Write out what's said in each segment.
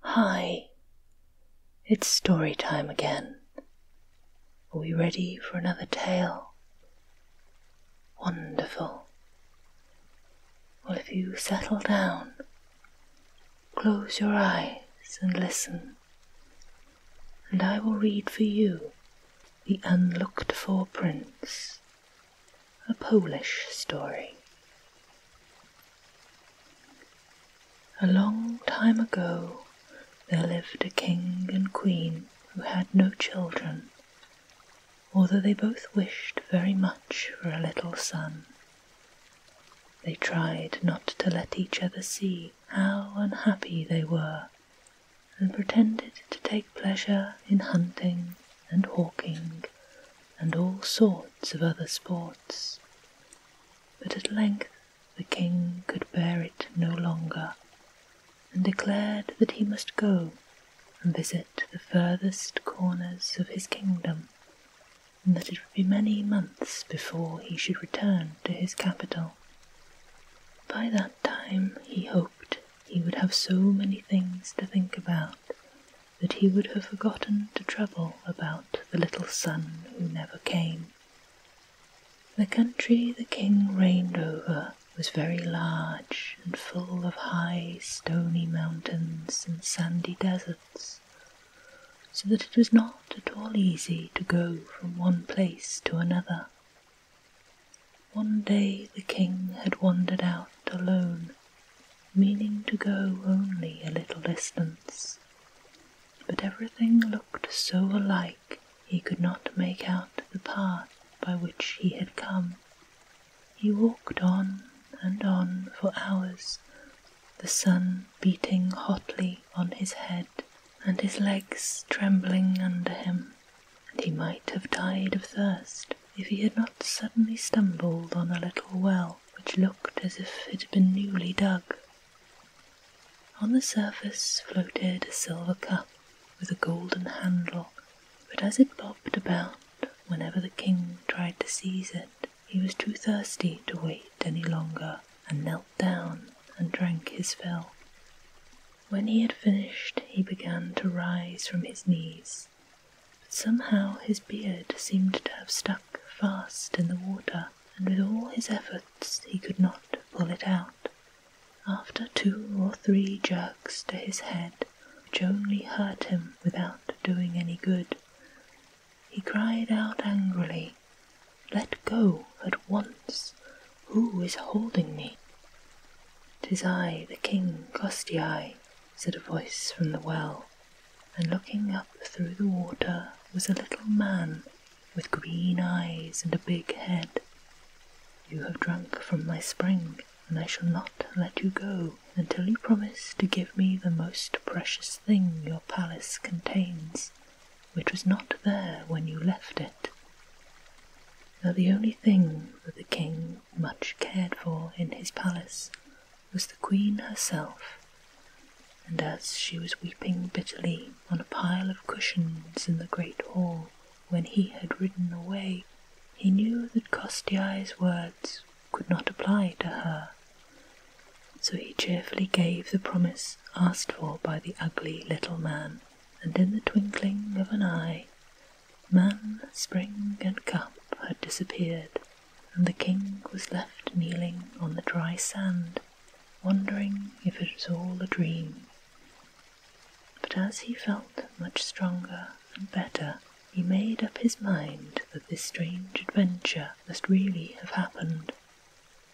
Hi, it's story time again. Are we ready for another tale? Wonderful. Well, if you settle down, close your eyes and listen, and I will read for you The Unlooked For Prince, a Polish story. A long time ago there lived a king and queen who had no children, although they both wished very much for a little son. They tried not to let each other see how unhappy they were, and pretended to take pleasure in hunting and hawking and all sorts of other sports. But at length the king could bear it no longer, and declared that he must go and visit the furthest corners of his kingdom, and that it would be many months before he should return to his capital. By that time he hoped he would have so many things to think about that he would have forgotten to trouble about the little son who never came. The country the king reigned over was very large and full of high stony mountains and sandy deserts, so that it was not at all easy to go from one place to another. One day the king had wandered out alone meaning to go only a little distance, but everything looked so alike he could not make out the path by which he had come. He walked on and on for hours, the sun beating hotly on his head and his legs trembling under him, and he might have died of thirst if he had not suddenly stumbled on a little well which looked as if it had been newly dug. On the surface floated a silver cup with a golden handle, but as it bobbed about, whenever the king tried to seize it, he was too thirsty to wait any longer and knelt down and drank his fill. When he had finished, he began to rise from his knees but somehow his beard seemed to have stuck fast in the water, and with all his efforts he could not pull it out. After two or three jerks to his head, which only hurt him without doing any good, he cried out angrily, Let go at once! Who is holding me? "'Tis I, the king Kostiei," said a voice from the well and looking up through the water was a little man with green eyes and a big head. You have drunk from my spring, and I shall not let you go until you promise to give me the most precious thing your palace contains, which was not there when you left it. Now the only thing that the king much cared for in his palace was the queen herself, and as she was weeping bitterly on a pile of cushions in the great hall when he had ridden away, he knew that Kostiai's words could not apply to her. So he cheerfully gave the promise asked for by the ugly little man, and in the twinkling of an eye, man, spring, and cup had disappeared and the king was left kneeling on the dry sand, wondering if it was all a dream. But as he felt much stronger and better, he made up his mind that this strange adventure must really have happened,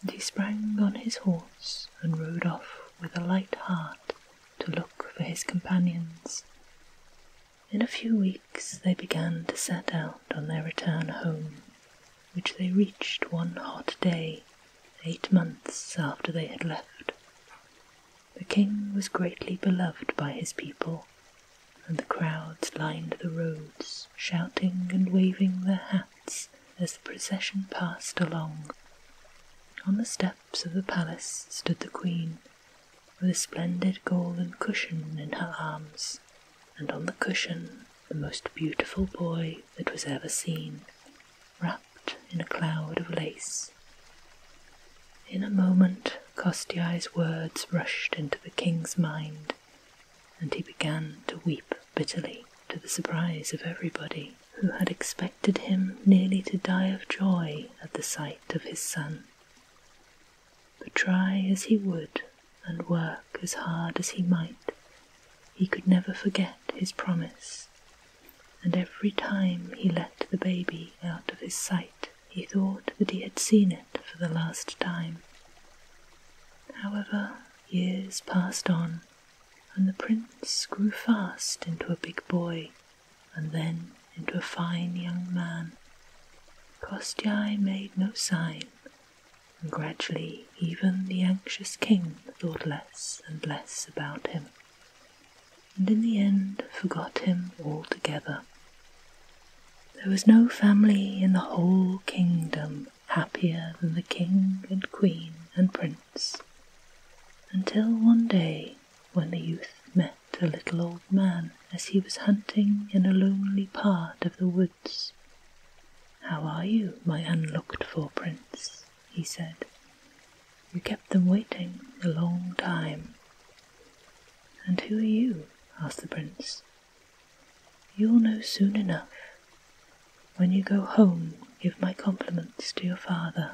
and he sprang on his horse and rode off with a light heart to look for his companions. In a few weeks they began to set out on their return home, which they reached one hot day, eight months after they had left. The king was greatly beloved by his people, and the crowds lined the roads, shouting and waving their hats as the procession passed along. On the steps of the palace stood the queen, with a splendid golden cushion in her arms, and on the cushion the most beautiful boy that was ever seen, wrapped in a cloud of lace. In a moment, Kostiai's words rushed into the king's mind, and he began to weep bitterly, to the surprise of everybody, who had expected him nearly to die of joy at the sight of his son. But try as he would and work as hard as he might, he could never forget his promise, and every time he let the baby out of his sight he thought that he had seen it for the last time. However, years passed on, and the prince grew fast into a big boy, and then into a fine young man. Kostyei made no sign, and gradually even the anxious king thought less and less about him, and in the end forgot him altogether. There was no family in the whole kingdom happier than the king and queen and prince, until one day when the youth met the little old man as he was hunting in a lonely part of the woods. How are you, my unlooked for prince? he said. You kept them waiting a long time. And who are you? asked the prince. You'll know soon enough. When you go home, give my compliments to your father,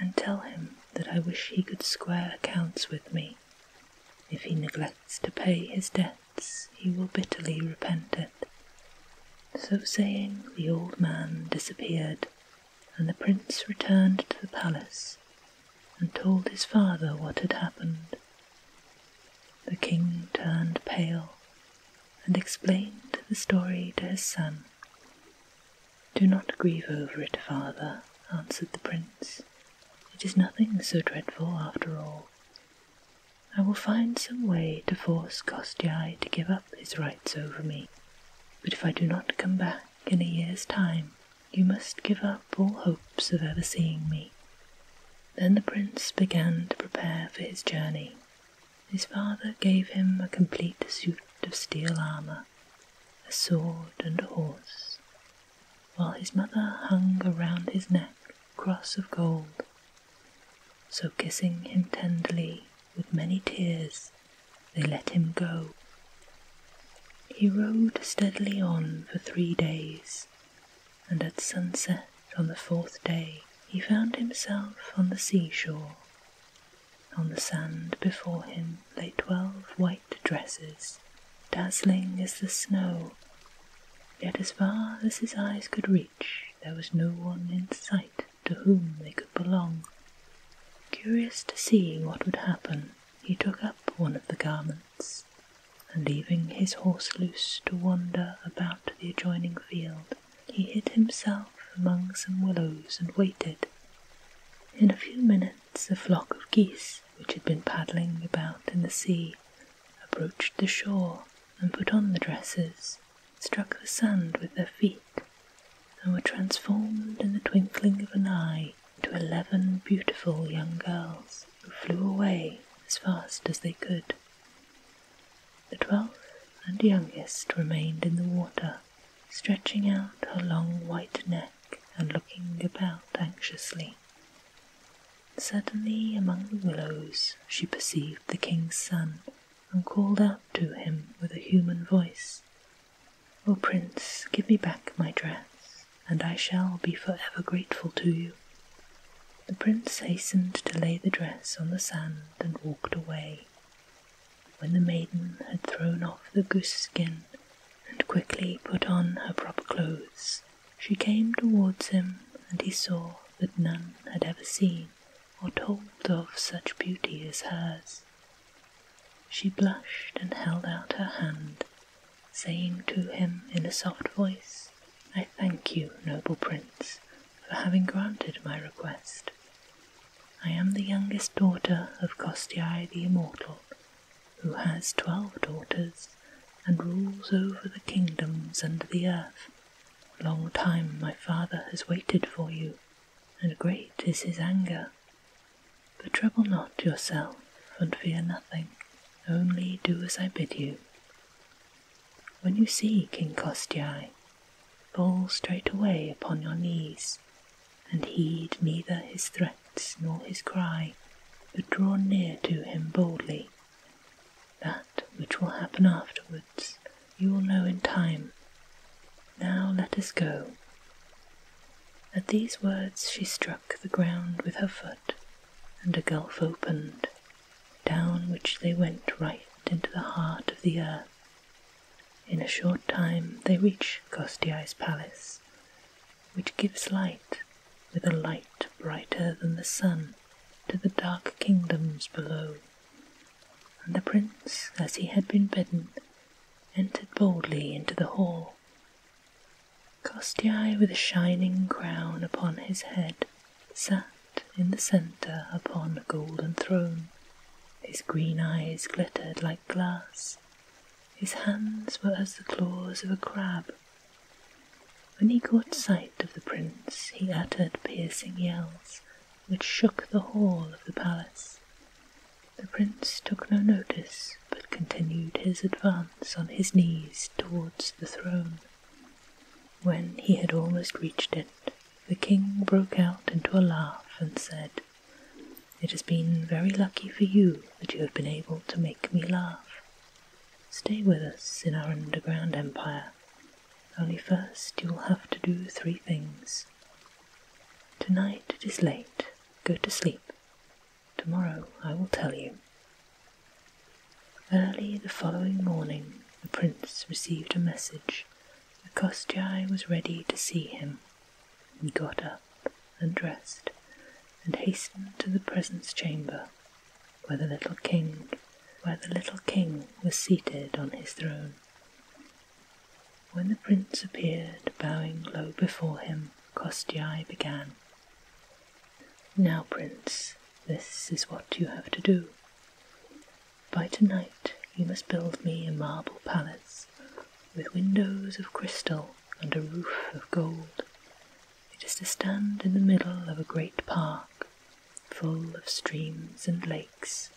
and tell him that I wish he could square accounts with me if he neglects to pay his debts, he will bitterly repent it. So saying, the old man disappeared, and the prince returned to the palace and told his father what had happened. The king turned pale and explained the story to his son. Do not grieve over it, father, answered the prince. It is nothing so dreadful after all. I will find some way to force Kostyai to give up his rights over me. But if I do not come back in a year's time, you must give up all hopes of ever seeing me. Then the prince began to prepare for his journey. His father gave him a complete suit of steel armour, a sword and a horse, while his mother hung around his neck cross of gold. So kissing him tenderly with many tears, they let him go. He rode steadily on for three days, and at sunset on the fourth day he found himself on the seashore. On the sand before him lay twelve white dresses, dazzling as the snow. Yet as far as his eyes could reach, there was no one in sight to whom they could belong. Curious to see what would happen, he took up one of the garments, and leaving his horse loose to wander about the adjoining field, he hid himself among some willows and waited. In a few minutes the flock of geese which had been paddling about in the sea approached the shore and put on the dresses, struck the sand with their feet, and were transformed in the twinkling of an eye into eleven beautiful young girls who flew away as fast as they could. The twelfth and youngest remained in the water, stretching out her long white neck and looking about anxiously. Suddenly, among the willows, she perceived the king's son, and called out to him with a human voice, O prince, give me back my dress, and I shall be forever grateful to you. The prince hastened to lay the dress on the sand and walked away. When the maiden had thrown off the goose skin and quickly put on her proper clothes. She came towards him, and he saw that none had ever seen or told of such beauty as hers. She blushed and held out her hand, saying to him in a soft voice, I thank you, noble prince, for having granted my request. I am the youngest daughter of Kostiei the Immortal, who has twelve daughters and rules over the kingdoms and the earth. Long time my father has waited for you, and great is his anger. But trouble not yourself, and fear nothing, only do as I bid you. When you see King Kostiai, fall straightway upon your knees, and heed neither his threats nor his cry, but draw near to him boldly. That which will happen afterwards you will know in time. Now let us go. At these words she struck the ground with her foot, and a gulf opened, down which they went right into the heart of the earth. In a short time they reached Kostiai's palace, which gives light with a light brighter than the sun to the dark kingdoms below. And the prince, as he had been bidden, entered boldly into the hall. Kostiei, with a shining crown upon his head, sat in the centre upon a golden throne. His green eyes glittered like glass, his hands were as the claws of a crab. When he caught sight of the prince, he uttered piercing yells, which shook the hall of the palace. The prince took no notice, but continued his advance on his knees towards the throne. When he had almost reached it, the king broke out into a laugh and said, it has been very lucky for you that you have been able to make me laugh. Stay with us in our underground empire. Only first you will have to do three things. Tonight it is late. Go to sleep. Tomorrow I will tell you. Early the following morning, the prince received a message. The Kostjai was ready to see him, he got up and dressed and hastened to the presence chamber where the little king where the little king was seated on his throne. When the prince appeared, bowing low before him, Kostyai began. Now, prince, this is what you have to do. By tonight you must build me a marble palace with windows of crystal and a roof of gold. It is to stand in the middle of a great park, full of streams and lakes.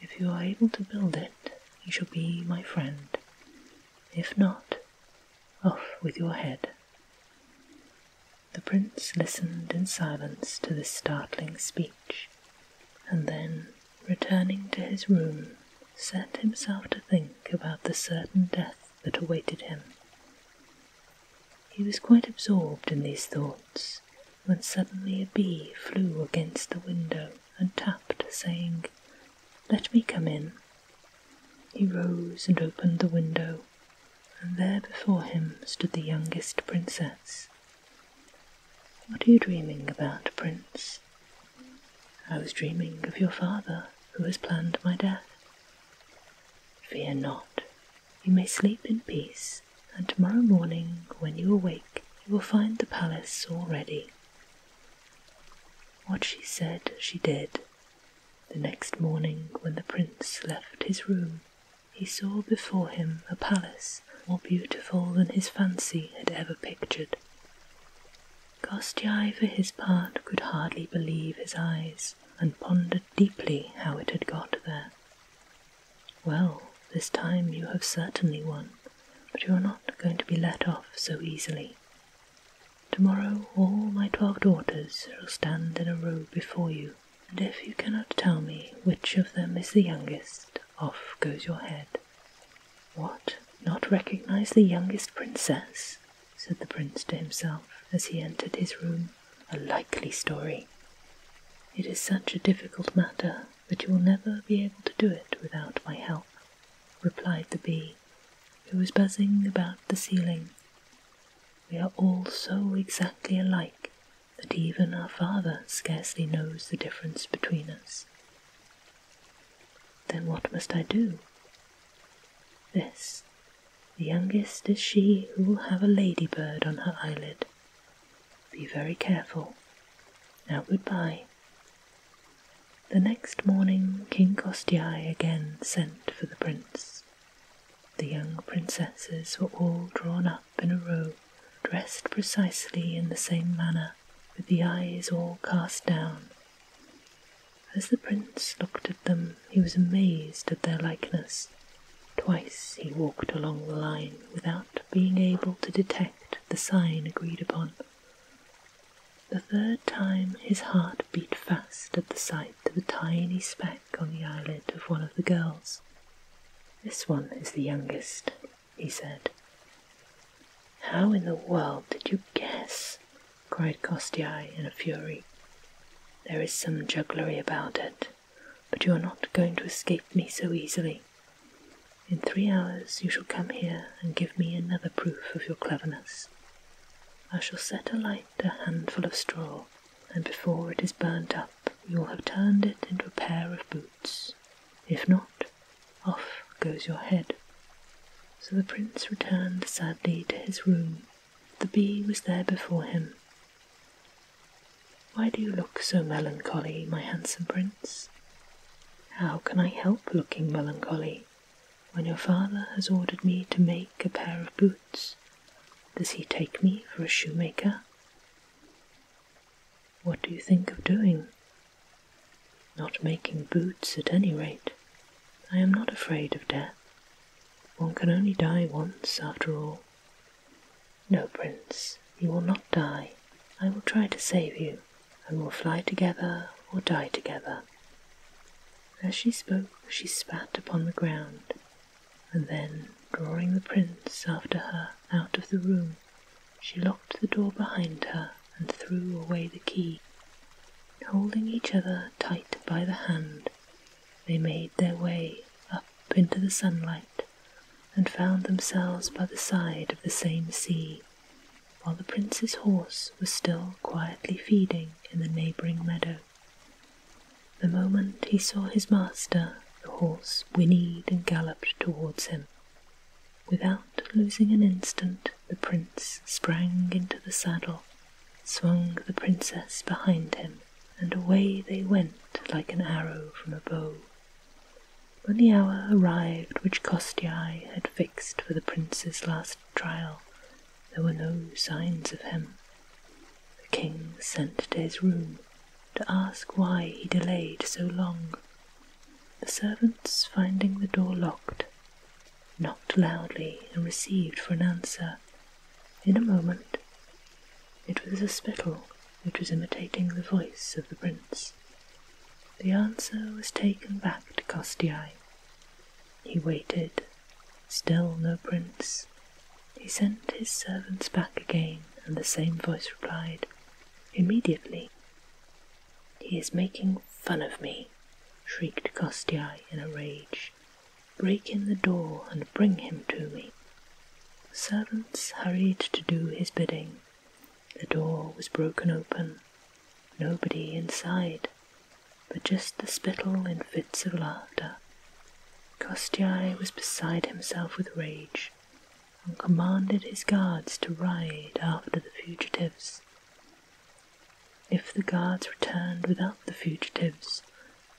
If you are able to build it, you shall be my friend. If not, off with your head. The prince listened in silence to this startling speech, and then, returning to his room, set himself to think about the certain death that awaited him. He was quite absorbed in these thoughts when suddenly a bee flew against the window and tapped, saying, Let me come in. He rose and opened the window, and there before him stood the youngest princess. What are you dreaming about, Prince? I was dreaming of your father who has planned my death. Fear not, you may sleep in peace, and tomorrow morning, when you awake, you will find the palace all ready. What she said, she did. The next morning, when the prince left his room, he saw before him a palace more beautiful than his fancy had ever pictured. Gostiai, for his part, could hardly believe his eyes, and pondered deeply how it had got there. Well, this time you have certainly won, but you are not going to be let off so easily. Tomorrow all my twelve daughters shall stand in a row before you, and if you cannot tell me which of them is the youngest, off goes your head. What, not recognize the youngest princess? said the prince to himself as he entered his room. A likely story. It is such a difficult matter that you will never be able to do it without my help, replied the bee, who was buzzing about the ceiling. We are all so exactly alike that even our father scarcely knows the difference between us. Then what must I do? This, the youngest is she who will have a ladybird on her eyelid. Be very careful. Now good bye. The next morning King Kostiei again sent for the prince. The young princesses were all drawn up in a row, dressed precisely in the same manner, with the eyes all cast down as the prince looked at them, he was amazed at their likeness. Twice he walked along the line without being able to detect the sign agreed upon. The third time his heart beat fast at the sight of a tiny speck on the eyelid of one of the girls. This one is the youngest, he said. How in the world did you guess? cried Kostiei in a fury. There is some jugglery about it, but you are not going to escape me so easily. In three hours you shall come here and give me another proof of your cleverness. I shall set alight a handful of straw, and before it is burnt up you will have turned it into a pair of boots. If not, off goes your head. So the prince returned sadly to his room. The bee was there before him. Why do you look so melancholy, my handsome prince? How can I help looking melancholy when your father has ordered me to make a pair of boots? Does he take me for a shoemaker? What do you think of doing? Not making boots at any rate. I am not afraid of death. One can only die once, after all. No, Prince, you will not die. I will try to save you, and we'll fly together or die together. As she spoke, she spat upon the ground, and then, drawing the prince after her out of the room, she locked the door behind her and threw away the key. Holding each other tight by the hand, they made their way up into the sunlight and found themselves by the side of the same sea, while the prince's horse was still quietly feeding in the neighbouring meadow. The moment he saw his master, the horse whinnied and galloped towards him. Without losing an instant, the prince sprang into the saddle, swung the princess behind him, and away they went like an arrow from a bow. When the hour arrived which Kostiei had fixed for the prince's last trial, there were no signs of him. The king sent to his room to ask why he delayed so long. The servants, finding the door locked, knocked loudly and received for an answer. In a moment, it was a spittle which was imitating the voice of the prince. The answer was taken back to Kostiei. He waited, still no prince. He sent his servants back again, and the same voice replied, Immediately. He is making fun of me, shrieked Kostiei in a rage. Break in the door and bring him to me. servants hurried to do his bidding. The door was broken open. Nobody inside, but just the spittle in fits of laughter. Kostiei was beside himself with rage, and commanded his guards to ride after the fugitives. If the guards returned without the fugitives,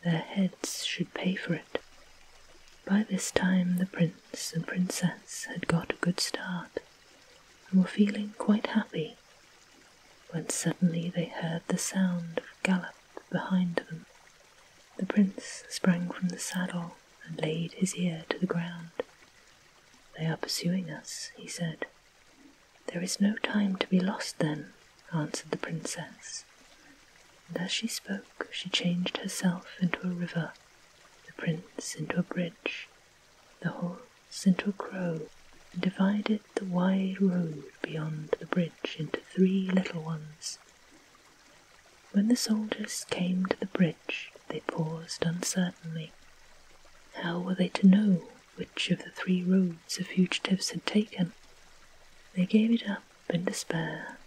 their heads should pay for it. By this time the prince and princess had got a good start, and were feeling quite happy, when suddenly they heard the sound of a gallop behind them. The prince sprang from the saddle and laid his ear to the ground. They are pursuing us, he said. There is no time to be lost then, answered the princess, and as she spoke she changed herself into a river, the prince into a bridge, the horse into a crow, and divided the wide road beyond the bridge into three little ones. When the soldiers came to the bridge, they paused uncertainly. How were they to know which of the three roads the fugitives had taken? They gave it up in despair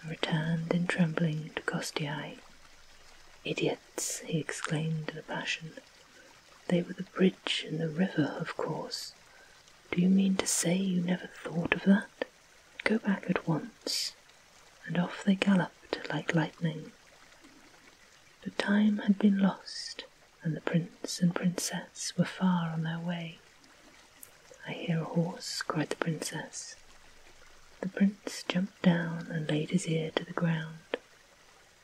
and returned in trembling to Kostiei. Idiots, he exclaimed in passion. They were the bridge and the river, of course. Do you mean to say you never thought of that? Go back at once. And off they galloped like lightning. But time had been lost, and the prince and princess were far on their way. I hear a horse, cried the princess. The prince jumped down and laid his ear to the ground.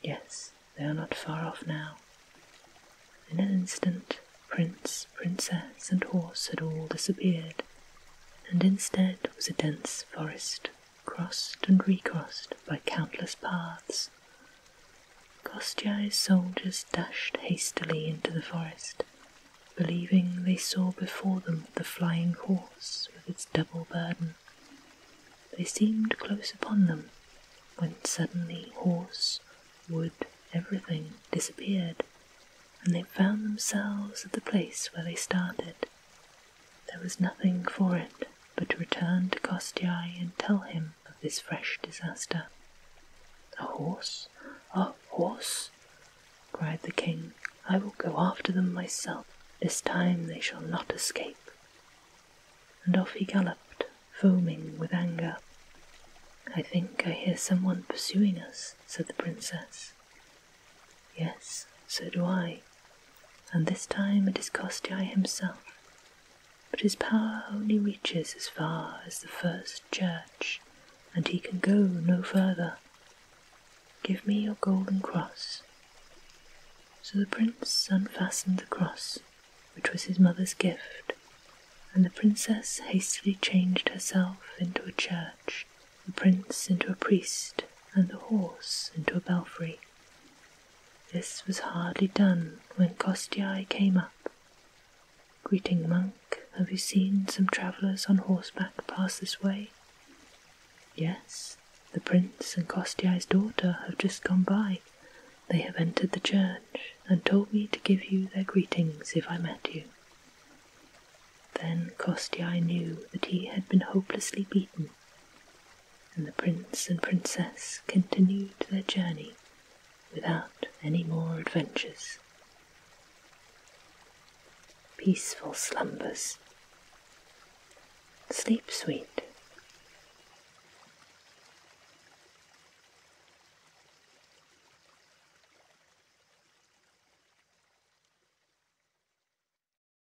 Yes, they are not far off now. In an instant, prince, princess, and horse had all disappeared, and instead was a dense forest crossed and recrossed by countless paths. Kostyai's soldiers dashed hastily into the forest, believing they saw before them the flying horse with its double burden. They seemed close upon them, when suddenly horse, wood, everything disappeared, and they found themselves at the place where they started, there was nothing for it but to return to Kostiei and tell him of this fresh disaster. A horse? A horse? cried the king. I will go after them myself. This time they shall not escape. And off he galloped, foaming with anger. I think I hear someone pursuing us, said the princess. Yes, so do I. And this time it is Kostai himself. But his power only reaches as far as the first church, and he can go no further. Give me your golden cross. So the prince unfastened the cross, which was his mother's gift, and the princess hastily changed herself into a church, the prince into a priest, and the horse into a belfry. This was hardly done when Kostiei came up. Greeting monk, have you seen some travellers on horseback pass this way? Yes, the prince and Kostiei's daughter have just gone by. They have entered the church and told me to give you their greetings if I met you. Then Kostiei knew that he had been hopelessly beaten and the prince and princess continued their journey without any more adventures. Peaceful slumbers. Sleep sweet.